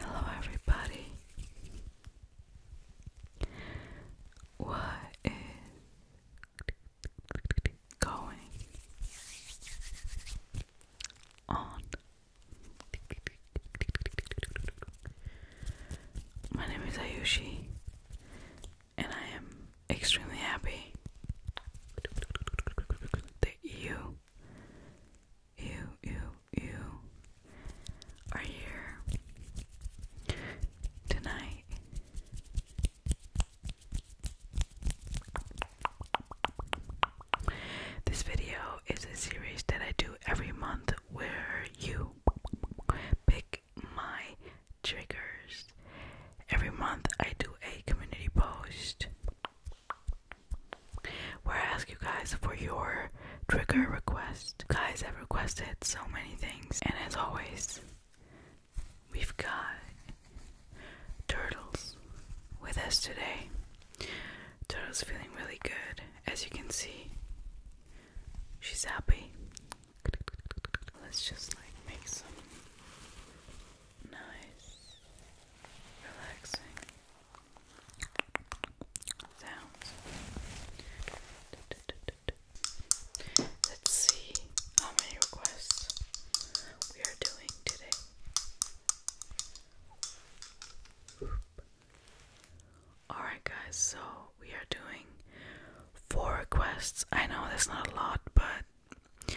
Hello, everybody. What is going on my name is Ayushi, and I am extremely happy that you, you, you, you are here tonight. This video is a series that I do every month where you pick my triggers. Every month I do a community post where I ask you guys for your trigger request. guys have requested so many things, and as always, we've got turtles with us today. Turtle's feeling really good, as you can see. She's happy. Let's just like make some nice, relaxing sounds. Let's see how many requests we are doing today. Alright, guys, so we are doing four requests. I know that's not a lot, but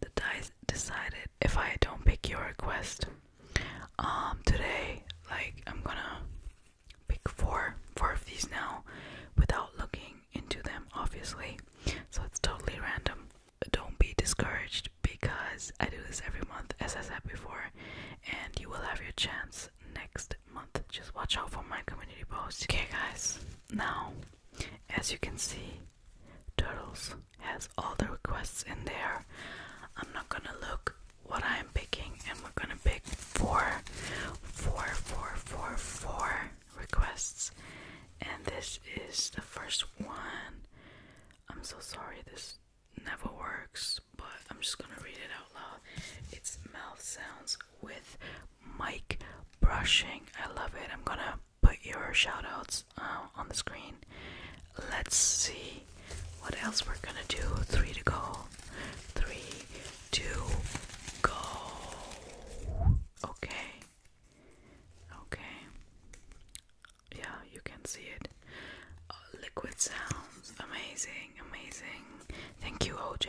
the dice decided if I don't pick your request um today, like I'm gonna pick four four of these now without looking into them obviously. So it's totally random. Don't be discouraged because I do this every month as I said before and you will have your chance next month. Just watch out for my community posts. Okay, guys, now as you can see, Turtles has all the requests in there. I'm not gonna look what I'm picking, and we're gonna pick four, four, four, four, four requests. And this is the first one. I'm so sorry, this never works, but I'm just gonna read it out loud. It's mouth sounds with Mike brushing. I love it. I'm gonna put your shout outs uh, on the screen. Let's see what else we're gonna do. Three to go. Three, two, go. Okay. Okay yeah, you can see it. Uh, liquid sounds, amazing, amazing. Thank you, OJ.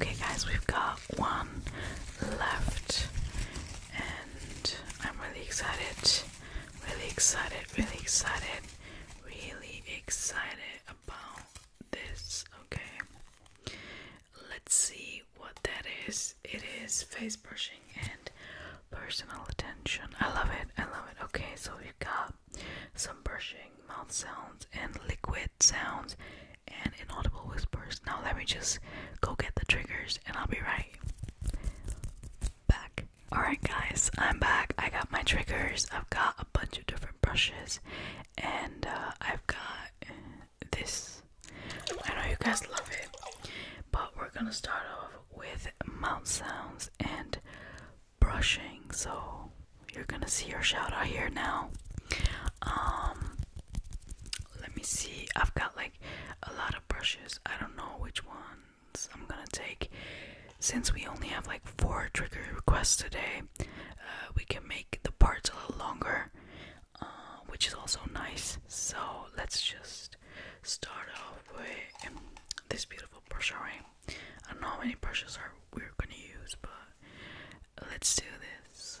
Okay, guys, we've got one left, and I'm really excited, really excited, really excited, really excited about this. Okay, let's see what that is. It is face brushing and personal attention. I love it, I love it. Okay, so we've got some brushing, mouth sounds, and liquid sounds, and inaudible whispers. Now, let me just go get the triggers and I'll be right back. Alright, guys, I'm back. I got my triggers. I've got a bunch of different brushes, and uh, I've got this. I know you guys love it, but we're gonna start off with mouth sounds and brushing, so you're gonna see your shout out here now. Um, let me see. I've got like a lot of brushes. I don't know which ones I'm gonna take. Since we only have like four trigger requests today, uh, we can make the parts a little longer, uh, which is also nice. So let's just start off with this beautiful brush, I don't know how many brushes are we're gonna use, but let's do this.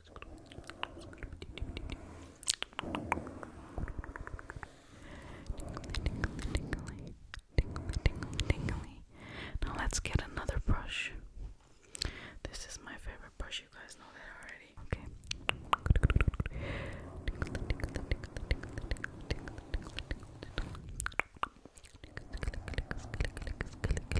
Tingly, tingly, tingly, tingly, tingly. Now let's get another brush. This is my favorite brush. You guys know that already. Okay. Tingly, tingly, tingly, tingly, tingly, tingly, tingly, tingly.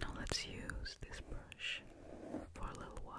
Now let's use this brush for a little while.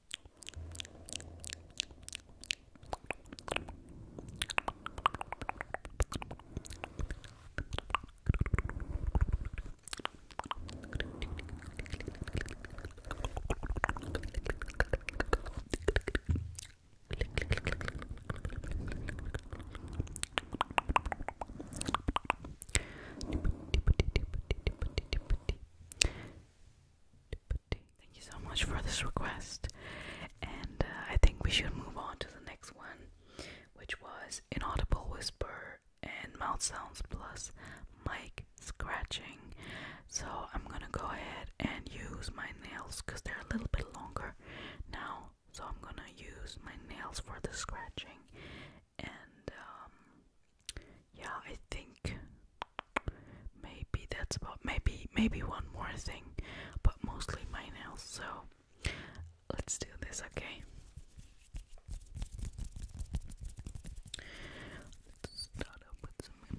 Tippity, Thank you so much for this request. And uh, I think we should move on to the next one, which was Inaudible Whisper and Mouth Sounds Plus Mic Scratching. So I'm gonna go ahead and use my nails because they're a little bit longer now. So I'm gonna use my nails for the scratching. And um, yeah, I think Maybe that's about maybe maybe one more thing, but mostly my nails. So let's do this, okay? Let's start with some.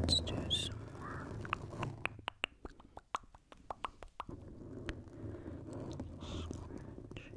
Let's do some more. Scratch, Whispers.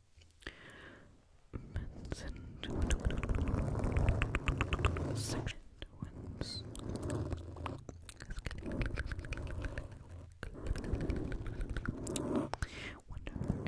Benson section wins. Wonder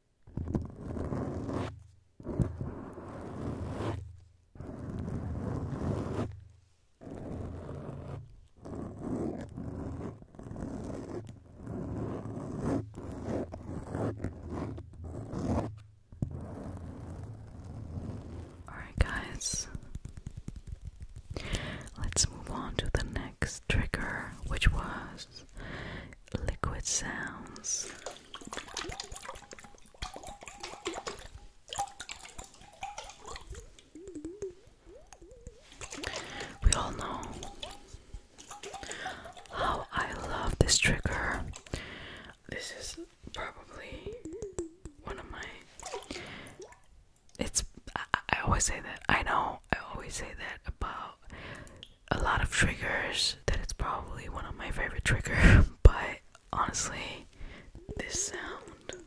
Alright, guys, let's move on to the next trigger, which was liquid sounds. We all know how I love this trigger. This is probably one of my. It's. I, always say that. I know. I always say that about a lot of triggers that it's probably one of my favorite triggers. but honestly this sound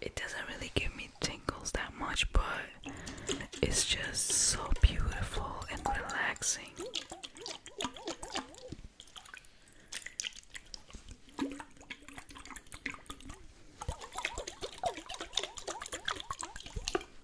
it doesn't really give me tingles that much but it's just so beautiful and relaxing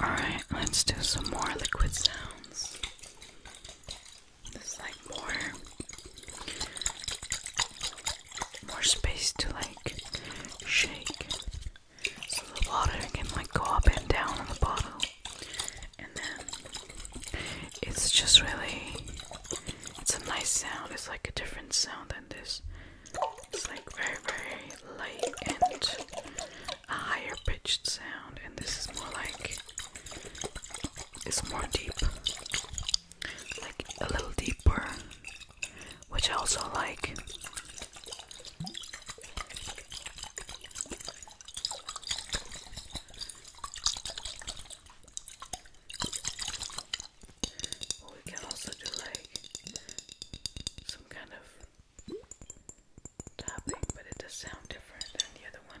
Alright, let's do some more liquid sounds. There's like more more space to like shake. So the water can like go up and down on the bottle. And then it's just really it's a nice sound. It's like a different sound than this. It's like very very light and a higher pitched sound, and this is more like it's more deep, like a little deeper, which I also like. we can also do like some kind of tapping, but it does sound different than the other one.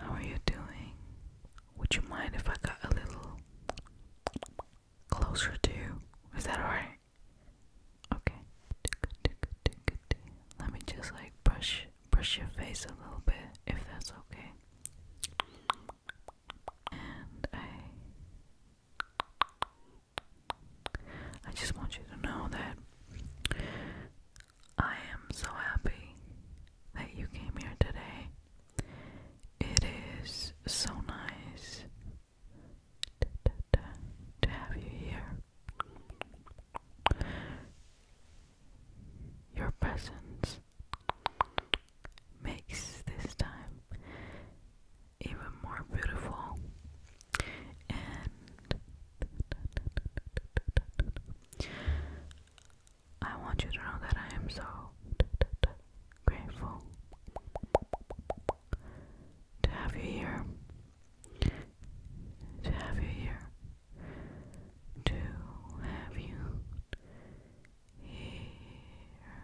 how are you doing? Would you mind if I got a little closer to you? Is that alright? Okay. Let me just like brush brush your face a little bit if that's okay. And I I just want you to know that I am so happy that you came here today. It is so nice to, have you here. Your presence makes this time even more beautiful and I want you to know that I am so grateful to have you here to have you here to have you here.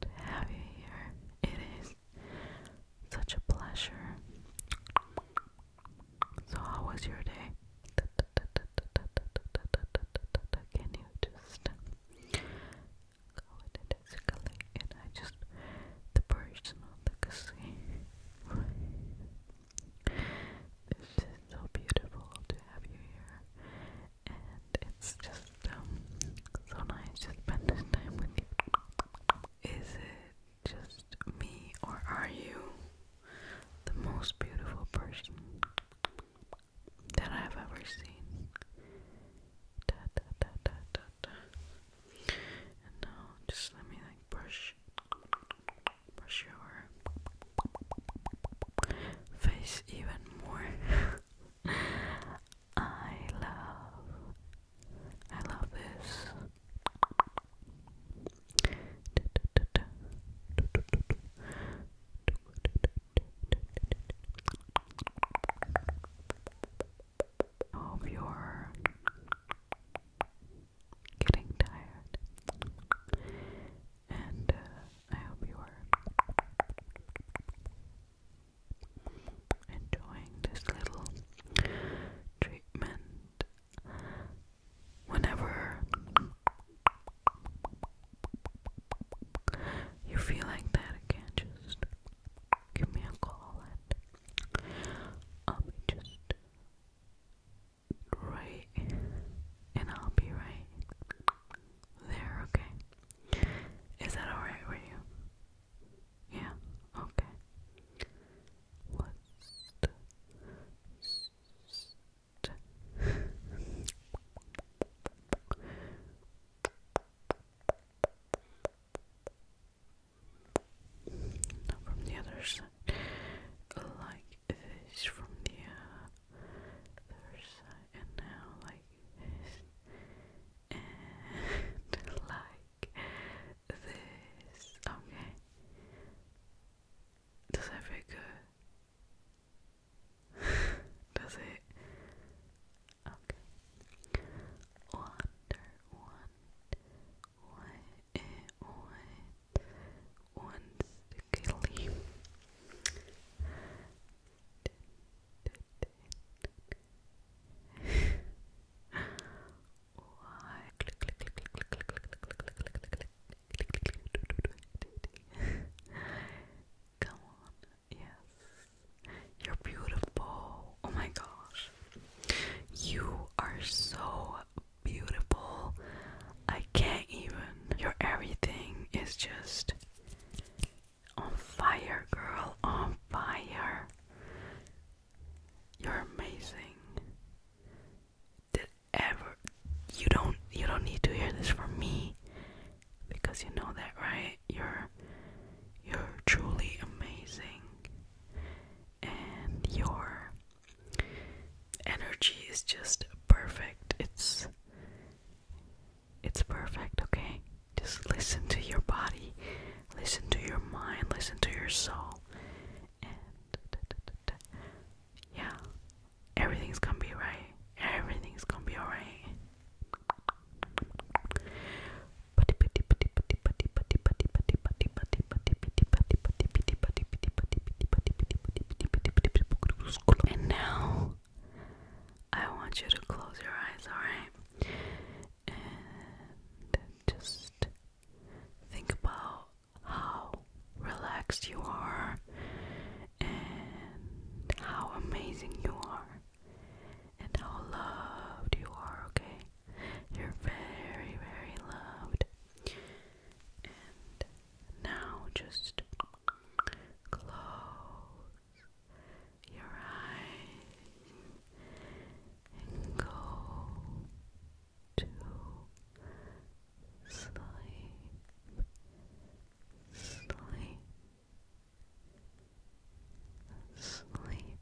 To have you here. It is such a pleasure. So, how was your day? Can you just go with it? And I just, the person the casino. It's so beautiful to have you here, and it's just um, so nice to spend time with you. Is it just me, or are you the most beautiful person that I've ever seen? And now, just let me like brush brush your face even more. I love, I love this. I hope you getting tired. And uh, I hope you are enjoying this little treatment. Whenever you feel like that again, just give me a call and I'll just right, and I'll be right there, okay? Is that alright with you? Yeah, okay. let not from the other side. Like this from the other side. And now like this. Okay. Does that feel Does it? Okay und und geliebt. Come on, yes, you're beautiful. Oh my gosh, you are so beautiful. I can't even. Your everything is just on fire, girl. On fire. You're amazing. Did ever you don't you don't need to hear this from me because you know that, right? You're you're truly amazing. And you're energy is just perfect. It's it's perfect, okay? Just listen to your body, listen to your mind, listen to your soul. And yeah, everything's gonna be right. Everything's gonna be alright. And now I want you to close your eyes, alright? And just think about how relaxed you are and how amazing you are and how loved you are, okay? You're very, very loved. now just close your eyes and go to sleep. Sleep. Sleep.